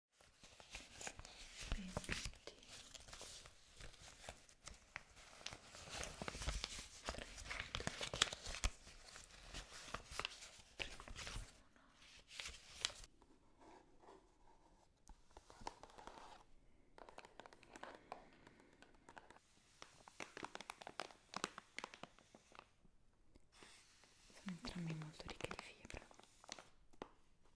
20 sono entrambi molto ricche di fibra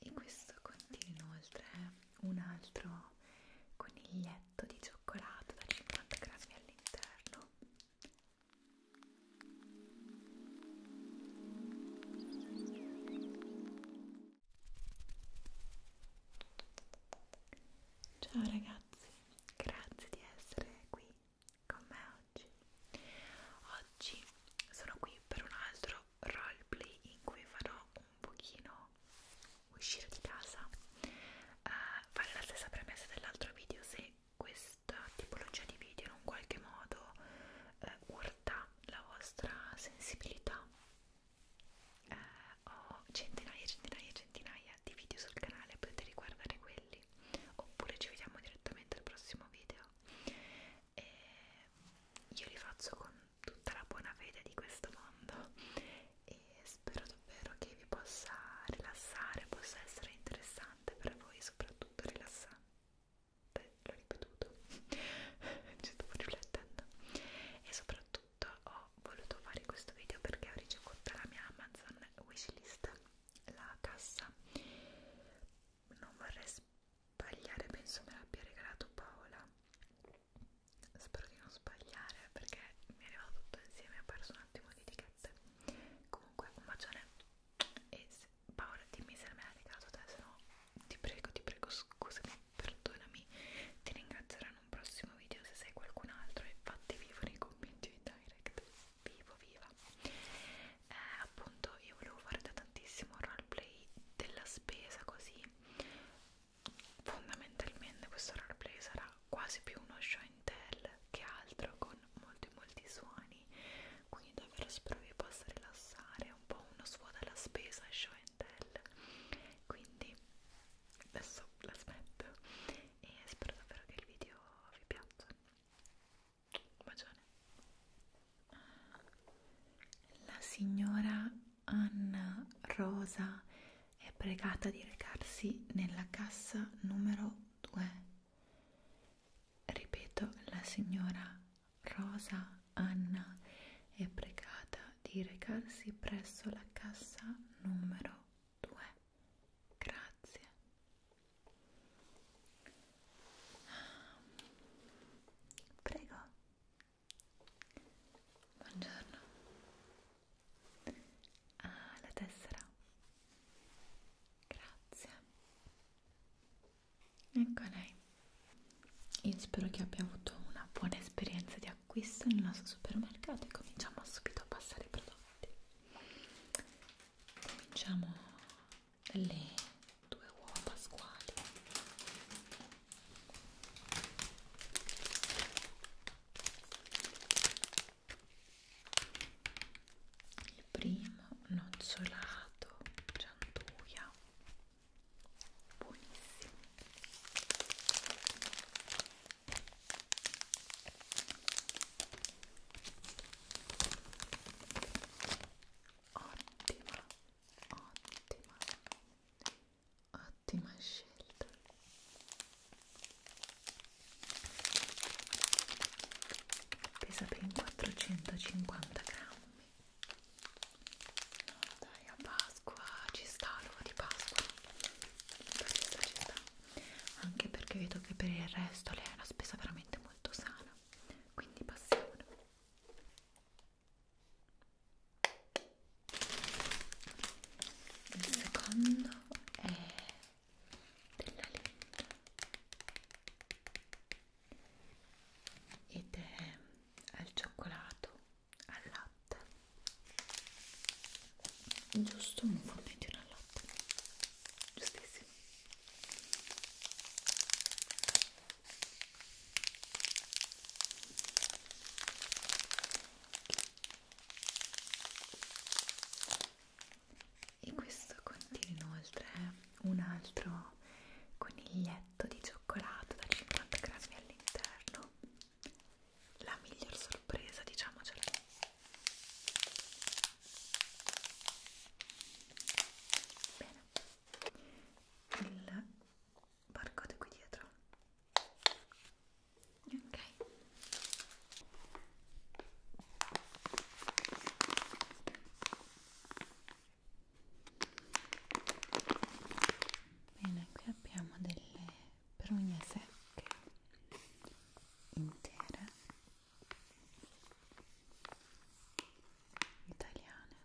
e questo contiene inoltre un altro coniglietto di cioccolato da 50 grammi all'interno Ciao ragazzi, grazie di essere qui con me oggi. Oggi sono qui per un altro roleplay in cui farò un pochino uscire di casa eh, fare la stessa premessa dell'altro video se questa tipologia di video in un qualche modo eh, urta la vostra sensibilità eh, ho centinaia e centinaia e centinaia di video sul canale potete riguardare quelli oppure ci vediamo direttamente al prossimo video e io li faccio con tutta la buona fede di questo mondo e spero davvero che vi possa rilassare, possa essere interessante per voi, soprattutto rilassante, l'ho ripetuto, ci stavo riflettendo e soprattutto ho voluto fare questo video perché ho ricevuto la mia Amazon wishlist, la cassa, non vorrei Pagliare penso me l'abbia regalato Paola spero di non sbagliare perché mi è arrivato tutto insieme ho perso un attimo di etichette comunque un bacione e se, Paola dimmi se me l'ha regalato te se no ti prego ti prego scusami perdonami ti ringrazierò in un prossimo video se sei qualcun altro e fatti vivo nei commenti di direct vivo viva eh, appunto io volevo fare da tantissimo roleplay della spesa così fondamentalmente questo roleplay sarà quasi più uno show and tell che altro con molti molti suoni quindi davvero spero vi possa rilassare è un po' uno svuoto alla spesa show and tell quindi adesso la smetto e spero davvero che il video vi piaccia un bacione la signora Anna Rosa è pregata di recarsi nella cassa numero 2. Ripeto, la signora Rosa Anna è pregata di recarsi presso la cassa numero 2. Grazie. Prego, Buongiorno. Ah, la tessera. Grazie. Ecco lei. Io spero che abbia avuto una buona esperienza di acquisto nel nostro supermercato e cominciamo subito a passare i prodotti. Cominciamo dalle due uova pasquali il primo nocciolato gianduia buonissimo Ottima, ottima Ottima scelta. Pesa ben 450 grammi. No, dai, a Pasqua ci sta l'uovo di Pasqua. Ci sta, ci sta. Anche perché vedo che per il resto lei è una spesa veramente molto sana. Quindi passiamo il secondo è della Linda ed è al cioccolato al latte giusto un fornettino al latte giustissimo e questo contiene inoltre un altro coniglietto di cioccolato da 50 grammi all'interno la miglior sorpresa diciamocela bene il barcode qui dietro ok bene qui abbiamo delle prugne secche intere italiane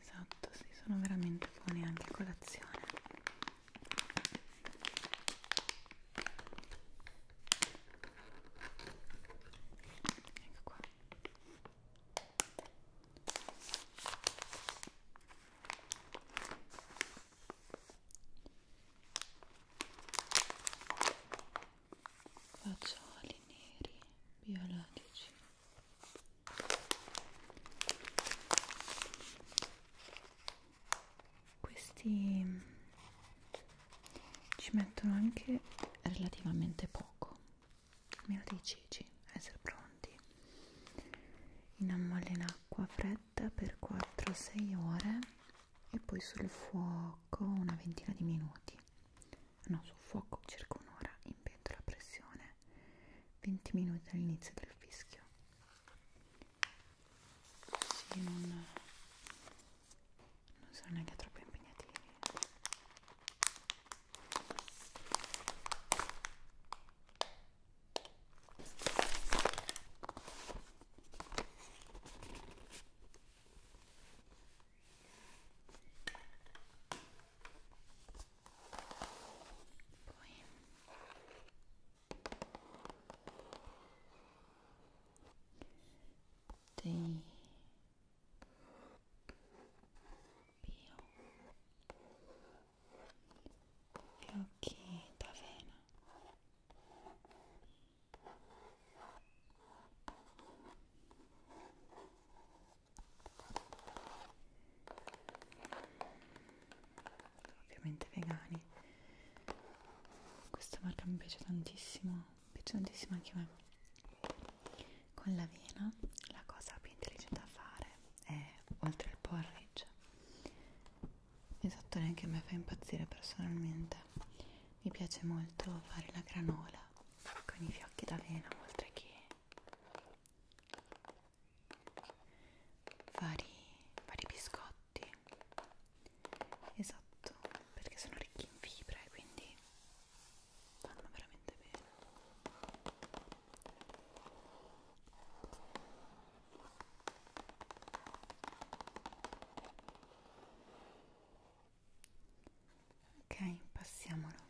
Esatto, sì, sono veramente buoni anche a colazione. Ecco qua. Fagioli neri biologici questi ci mettono anche relativamente poco meno dei ceci a essere pronti innammolla in acqua fredda per 4-6 ore e poi sul fuoco una ventina di minuti no sul fuoco circa un'ora in pentola a pressione 20 minuti dall'inizio del fischio sì, non, non sono neanche troppo impegnativi Tem pior É que tá vendo? ovviamente vegani questa marca mi piace tantissimo mi piace tantissimo anche a me con l'avena la cosa più intelligente da fare è oltre al porridge esatto neanche a me fa impazzire personalmente mi piace molto fare la granola con i fiocchi d'avena oltre che vari, vari biscotti esatto perché sono ricchi in fibre quindi vanno veramente bene ok passiamolo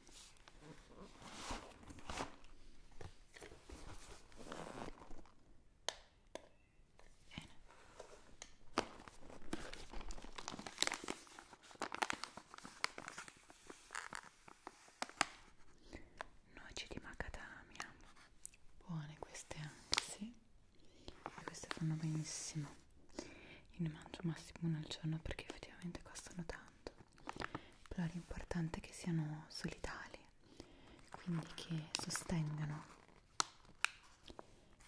Noci di macadamia, buone queste anche, sì. Queste fanno benissimo. Io ne mangio massimo una al giorno perché effettivamente costano tanto però l'importante è che siano solidali quindi che sostengano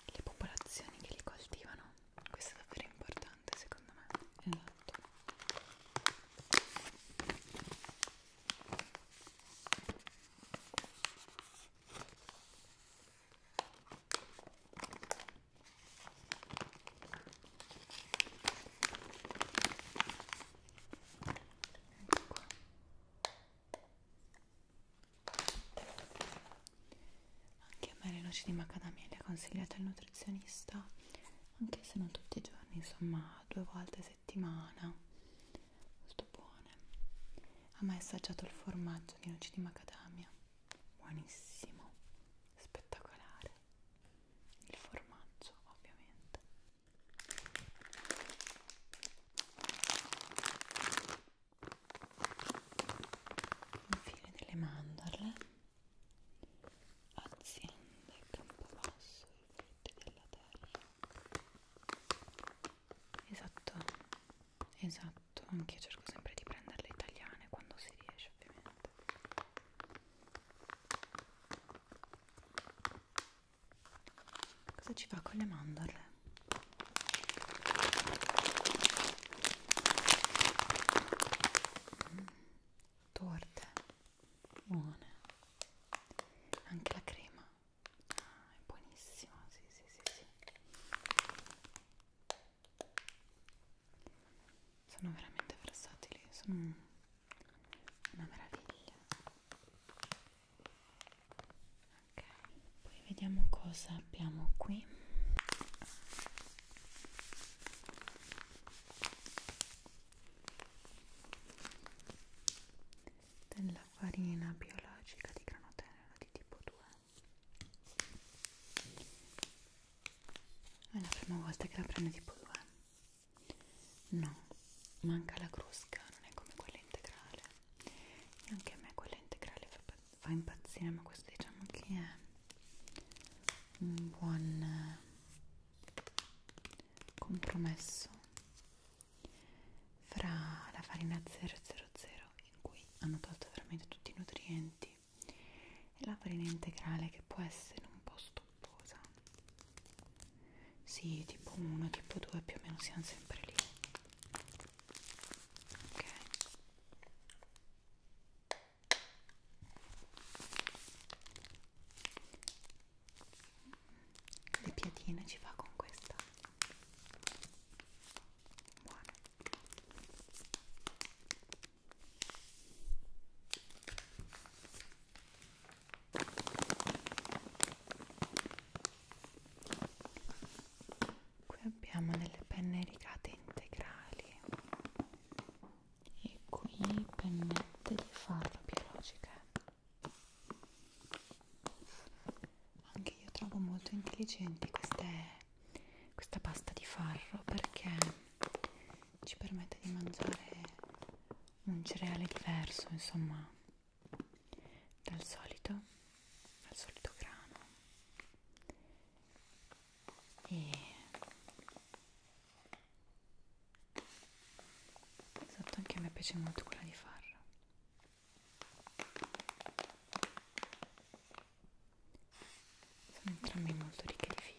le popolazioni che li coltivano questo è davvero importante secondo me esatto ecco qua anche a me le noci di macadamia le ha consigliate il nutrizionista anche se non tutti i giorni insomma due volte a settimana molto buone a me è assaggiato il formaggio di noci di macadamia buonissimo spettacolare il formaggio ovviamente infine delle mandorle aziende campobasso i frutti della terra esatto esatto anche io cerco sempre di prenderle italiane quando si riesce ovviamente Cosa ci fa con le mandorle? Mm, torte buone. Anche la crema. Ah, è buonissima, sì, sì, sì, sì. Sono veramente versatili, sono una meraviglia ok poi vediamo cosa abbiamo qui della farina biologica di grano tenero di tipo 2 è la prima volta che la prendo tipo 2 No, manca la crusca, non è come quella integrale. E anche a me quella integrale fa, fa impazzire, ma questo diciamo che è un buon eh, compromesso fra la farina 000 in cui hanno tolto veramente tutti i nutrienti e la farina integrale che può essere un po' stupida corposa sì tipo 1 tipo 2 più o meno siamo sempre lì ok le piadine ci va con questa buono qui abbiamo delle penne rigate integrali e qui pennette di farro biologiche anche io trovo molto intelligenti queste questa pasta di farro perché ci permette di mangiare un cereale diverso insomma dal solito dal solito grano e esatto anche a me piace molto quella di farro sono entrambi molto ricche di fibra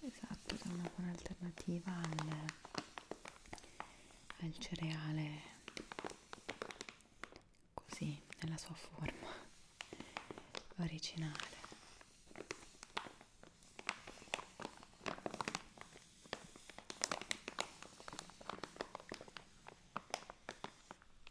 Esatto, è una buona alternativa al, al cereale così, nella sua forma originale.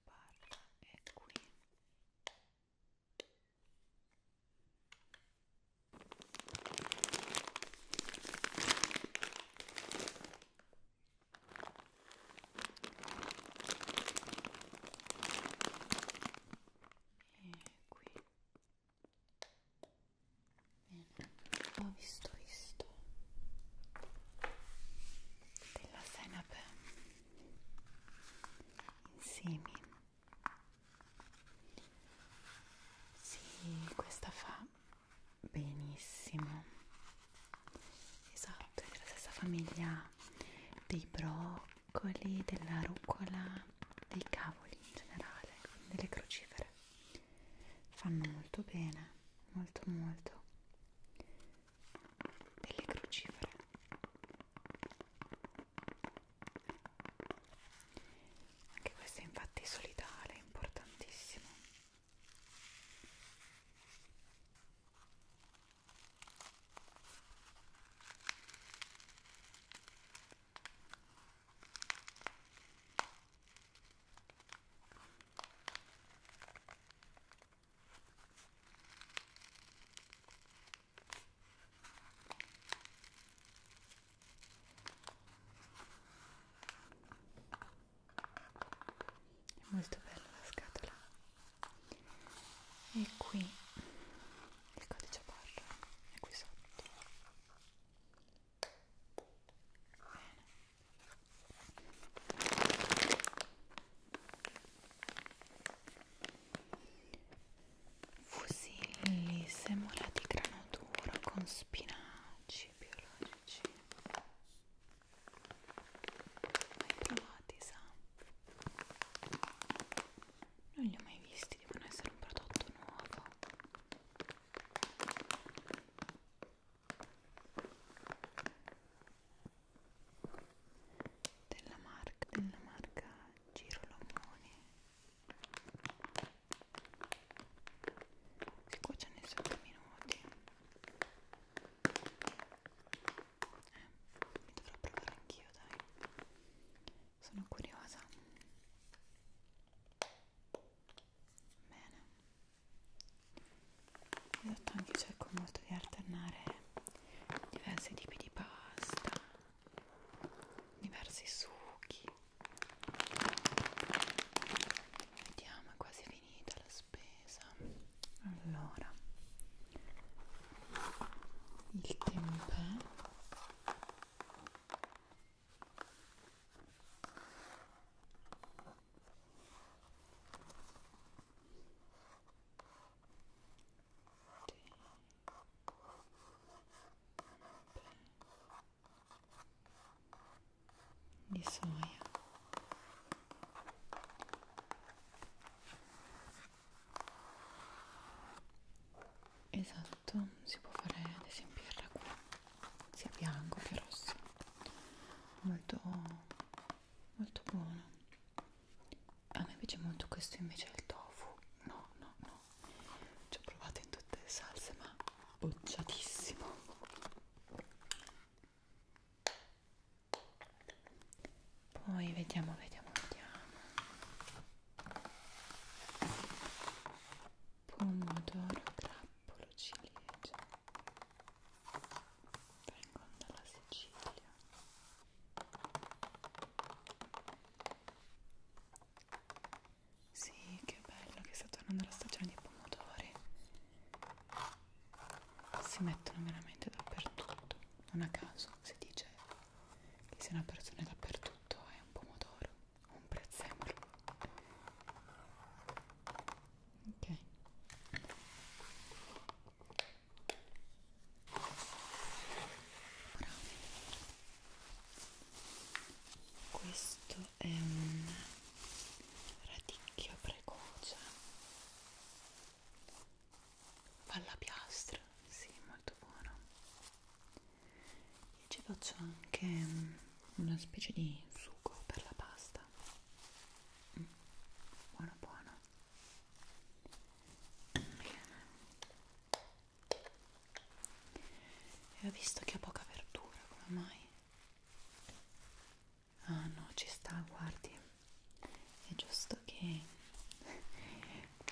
questa parte è qui e qui bene ho visto visto della senape insieme sì questa fa benissimo esatto è della stessa famiglia dei broccoli della rucola dei cavoli in generale delle crocifere fanno molto bene molto molto delle crocifere anche questo è infatti solidale importantissimo è molto bella la scatola. E qui il codice barra è qui sotto. Bene fusilli, semola di grano duro con spinaci biologici mai provati sa? non li ho mai visti, devono essere un prodotto nuovo della marca, della marca Girolomone si cuociono in 7 minuti eh, mi dovrò provare anch'io dai sono curiosa bene esatto anche cerco molto di alternare diversi tipi di pasta diversi succhi vediamo è quasi finita la spesa allora il tempeh di soia esatto si può fare ad esempio il ragù sia bianco che rosso molto molto buono a me piace molto questo invece è il tofu no no no ci ho provato in tutte le salse ma bocciatissimo poi vediamo vediamo vediamo pomodoro grappolo ciliegia vengono dalla Sicilia sì, che bello che sta tornando la stagione dei pomodori si mettono veramente dappertutto non a caso si dice che se una persona è dappertutto è un pomodoro un prezzemolo ok Ora, questo è un radicchio precoce alla piastra sì molto buono e ci faccio anche mm, una specie di sugo per la pasta mm. buono buono e ho visto che ha poca verdura come mai ah no ci sta guardi è giusto che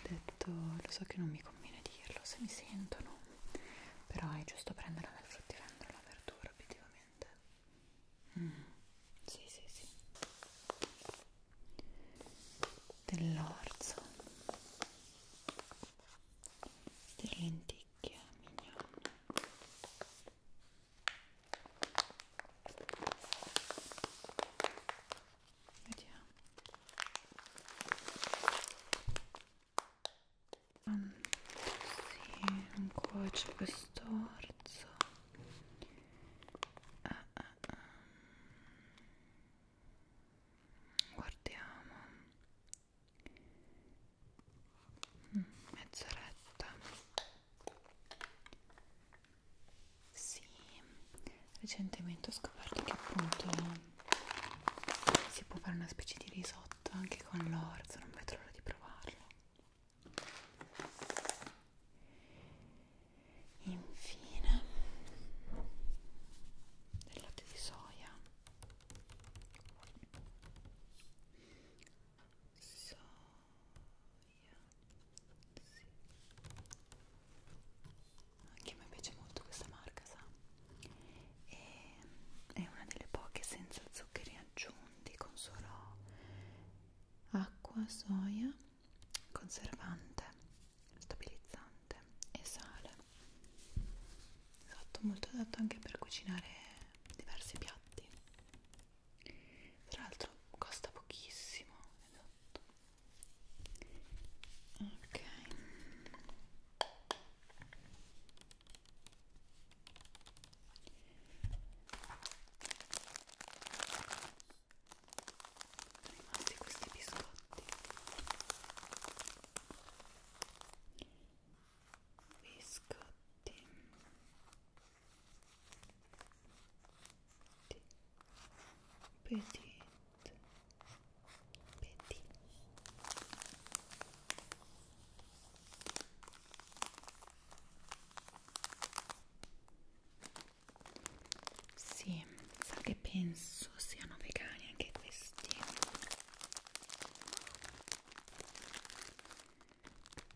detto lo so che non mi conviene dirlo se mi sentono però è giusto prenderla dal fruttivendolo la verdura obiettivamente Mm. Sì, sì, sì. Dell'orzo. Delle lenticchie, mignonne. Vediamo. Um, sì, ancora c'è questo orzo Uh, uh, uh. Guardiamo mm, mezz'oretta. Sì, recentemente ho scoperto che appunto si può fare una specie di risotto anche con l'orzo, non vedo l'ora di provarlo infine del latte di soia soia sì. anche a me piace molto questa marca sa e, è una delle poche senza zuccheri aggiunti con solo acqua, soia, conservante, stabilizzante e sale. Esatto, molto adatto anche per cucinare diversi piatti. Tra l'altro costa pochissimo, esatto. Ok sono rimasti questi biscotti biscotti petit petit sì, sa che penso siano vegani anche questi.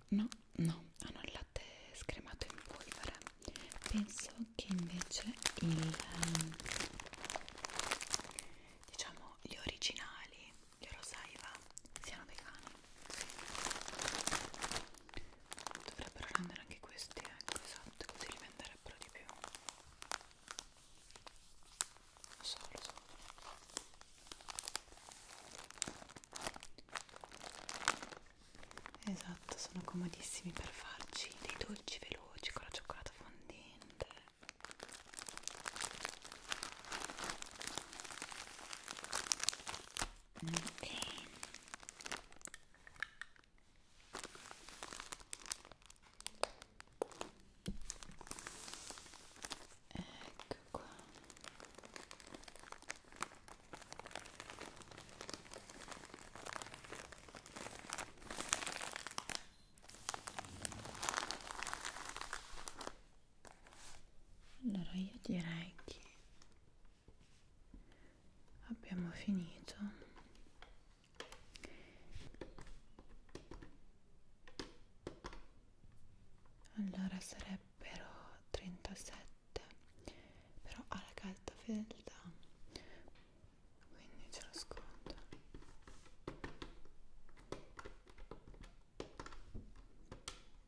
No, no, hanno il latte scremato in polvere. Penso che invece il ehm, diciamo gli originali, gli Rosaiva, siano vegani dovrebbero rendere anche questi ecco esatto così li venderebbero di più assurdo esatto sono comodissimi per farci dei dolci veloci con la cioccolata fondente bene ecco qua allora io direi che abbiamo finito allora sarebbero 37 però ha la carta fedeltà quindi ce lo sconto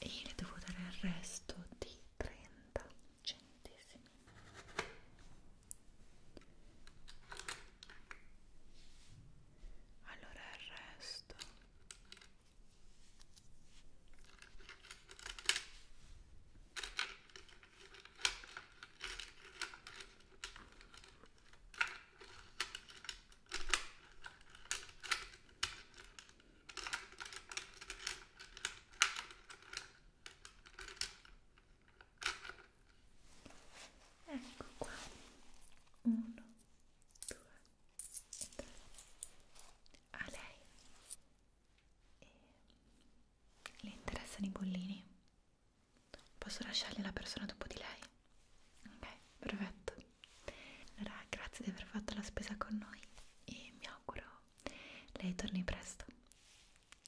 e le devo dare il resto di 30 centesimi allora il resto ecco qua uno due e tre a lei e... le interessano i bollini posso lasciarli alla persona dopo di lei ok perfetto allora, grazie di aver fatto la spesa con noi e mi auguro lei torni presto.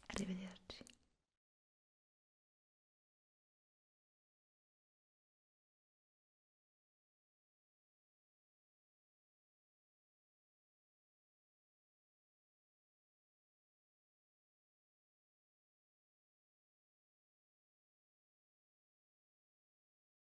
Arrivederci.